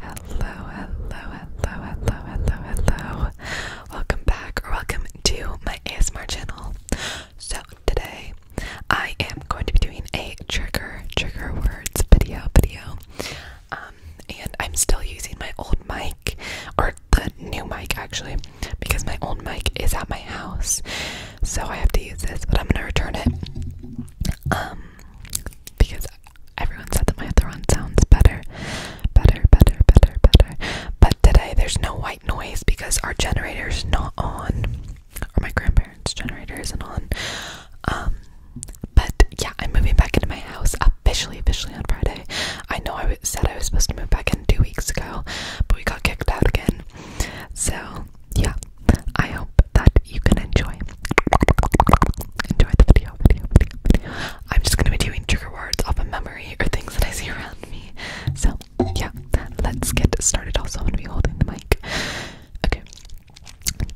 Hello, hello, hello, hello, hello, hello. Welcome back or welcome to my ASMR channel. So today I am going to be doing a trigger, trigger words video video. Um, and I'm still using my old mic or the new mic actually because my old mic is at my house. So I have to use this, but I'm gonna return it. Um because everyone said that my other one sounds better, better, better, better, better. But today there's no white noise because our generator's not on, or my grandparents' generator isn't on. Um, but yeah, I'm moving back into my house officially, officially on Friday. I know I said I was supposed to move back in two weeks ago, but we got kicked out again. So yeah, I hope that you can enjoy. Enjoy the video, I'm just gonna be doing trigger words off of memory or things that I see around me. So yeah, let's get started. Also, I'm gonna be holding the mic. Okay.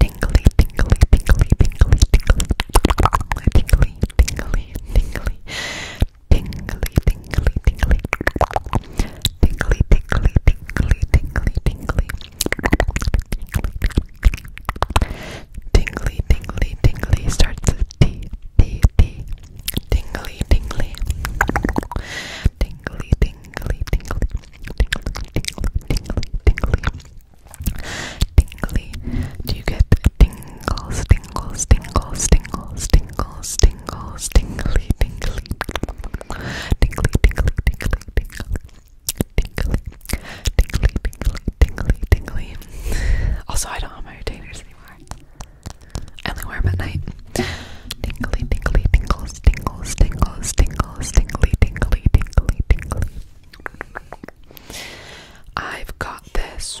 Tingly, tingly, tingly, tingly, tingly, tingly, tingly, tingly, tingly, tingly, tingly, tingly, tingly, tingly, tingly, tingly, tingly, tingly, tingly starts with T, T, T, tingly, tingly, tingly, tingly, tingly, tingly, tingly, tingly, tingly. Do you get tingles, tingles, tingles, tingles, tingles? tingles, tingly, tingly, tingly, tingly, tingly, tingly, tingly, tingly, tingly, tingly, tingly. Also, I don't have my retainers anymore. I only wear them at night. Tingly, tingly, tingles, tingles, tingles, tingles, tingly, tingly, tingly, tingly. I've got this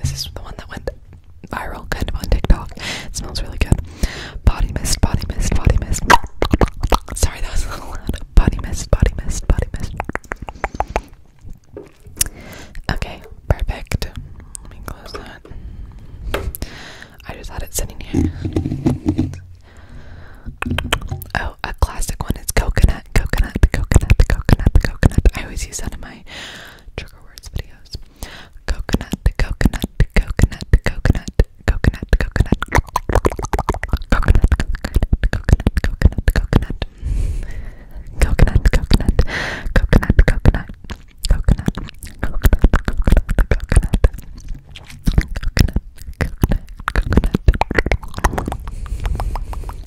This is the one that went viral, kind of on TikTok. It smells really good. Body mist, body mist, body mist. Sorry, that was a little loud. Body mist, body mist, body mist. Okay, perfect. Let me close that. I just had it sitting here. Oh, a classic one is coconut coconut, coconut, coconut, coconut, I always use that in my trigger words videos. coconut, coconut, coconut, coconut, coconut, coconut, coconut, coconut, coconut, coconut. Coconut, coconut, coconut, coconut, coconut, coconut, coconut,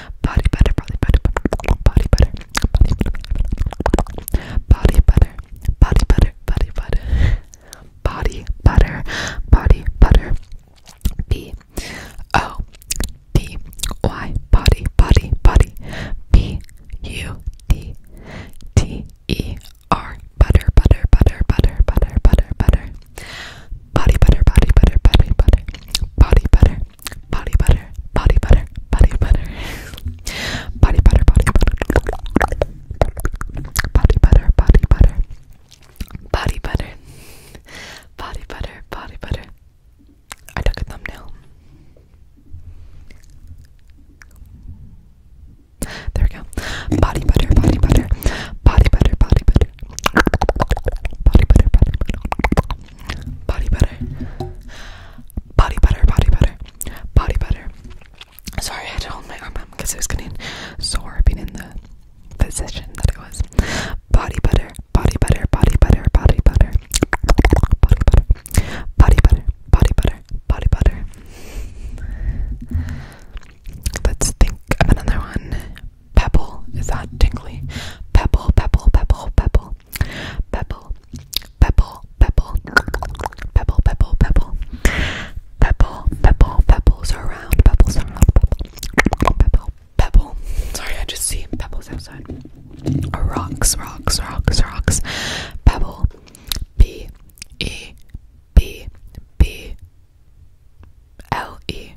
Body butter, body butter, body butter, body butter, body butter, body butter, body butter, body butter, body butter, B O D Y, body, body, body, B U D T E R, butter, butter, butter, butter, butter, butter, butter, body butter, body butter, body butter, body butter body butter, body butter, body butter, body butter, body butter, body butter, body butter, body butter, body butter, body butter. I took a thumbnail. There we go. Body butter, body butter, body butter, body butter, body butter, body butter, body butter, body butter, body butter, body butter. Sorry, I had to hold my arm up because I was getting sore being in the position that it was. Body butter, body butter, body butter, body butter, body butter, body butter, body butter, body butter. Let's think of another one. Pebble. Is that tingly? Pebble, pebble, pebble, pebble. Pebble, pebble, pebble. Pebble, pebble, pebble. Pebble, pebble, pebbles are around. Pebbles are around. Pebble, pebble, pebble. Sorry, I just see pebbles outside. Or rocks, rocks, rocks, rocks. Pebble. B, E, B, B. L E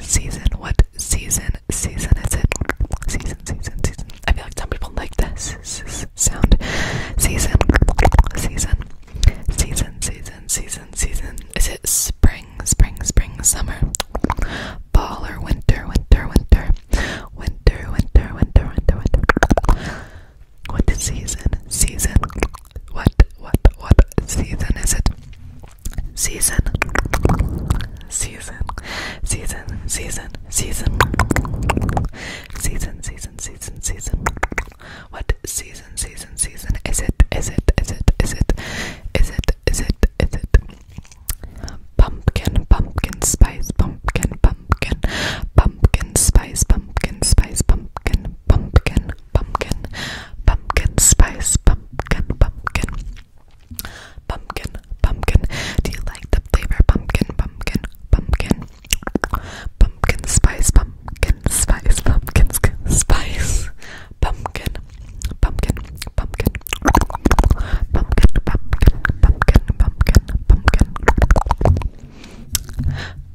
Season, what season, season is it? Season, season, season. I feel like some people like this s sound. Season, season, season, season, season, season. Is it spring, spring, spring, summer? Fall or winter, winter, winter. Winter, winter, winter, winter, winter. What season, season, what, what, what season is it? Season, season, season, season, season, season, season, season, season. What season, season, season is it? Is it? Is it? Is it? Is it? Is it? Is it? Pumpkin, pumpkin spice, pumpkin, pumpkin, pumpkin spice, pumpkin spice, pumpkin, pumpkin, pumpkin, pumpkin spice, pumpkin, pumpkin, pumpkin, pumpkin. Do you like the flavor pumpkin, pumpkin, pumpkin, pumpkin spice, pumpkin spice, pumpkin spice, pumpkin, pumpkin, pumpkin, pumpkin, pumpkin, pumpkin, pumpkin, pumpkin,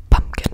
pumpkin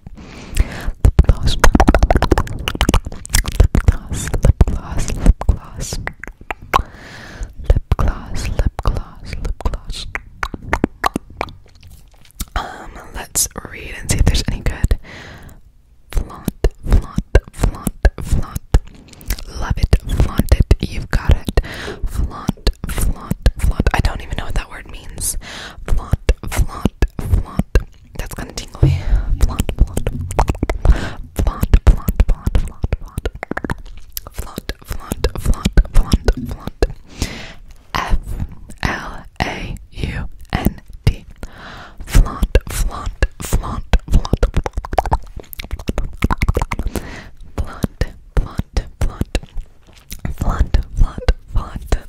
lip gloss, lip gloss, lip gloss, lip gloss, lip gloss, lip gloss, lip gloss. Um, let's read and see if there's any good. Flaunt, flaunt, flaunt, flaunt. Love it, flaunt it, you've got it. Flaunt, flaunt, flaunt. I don't even know what that word means. Flaunt, flaunt, flaunt. That's kind of tingly. Flaunt, flaunt, flaunt, flaunt, flaunt, flaunt, flaunt, flaunt, flaunt, flaunt, flaunt, flaunt. F L A U N T. Flaunt, flaunt, flaunt, flaunt, flaunt, flaunt, flaunt, flaunt, flaunt, flaunt.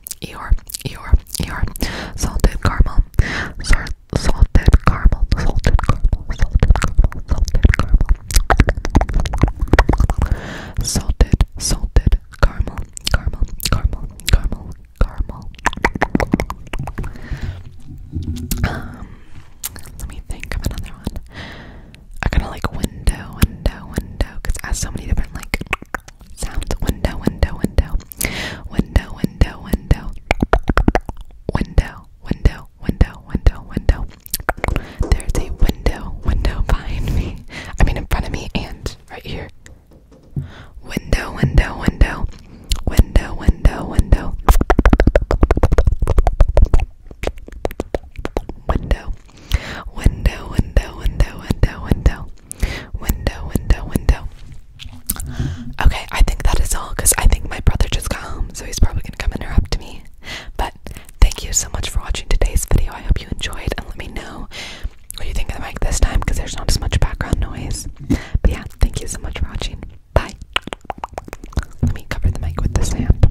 Eeyore, Eeyore, Eeyore, salted caramel, Sar salted caramel, salted caramel, salted caramel, salted caramel, salted, salted caramel, caramel, caramel, caramel, caramel. Um, let me think of another one. I kind of like window, window, window, because has so many different like sounds window window window window window window window window window window window there's a window window behind me I mean in front of me and right here window window window window window window window Window, window, window, window, window. Window, window, window. Okay, I think that is all because I think my brother just got home, so he's probably gonna come interrupt me. But thank you so much for watching today's video. I hope you enjoyed and let me know what you think of the mic this time because there's not as much background noise. But yeah, thank you so much for watching. Bye. Let me cover the mic with this hand.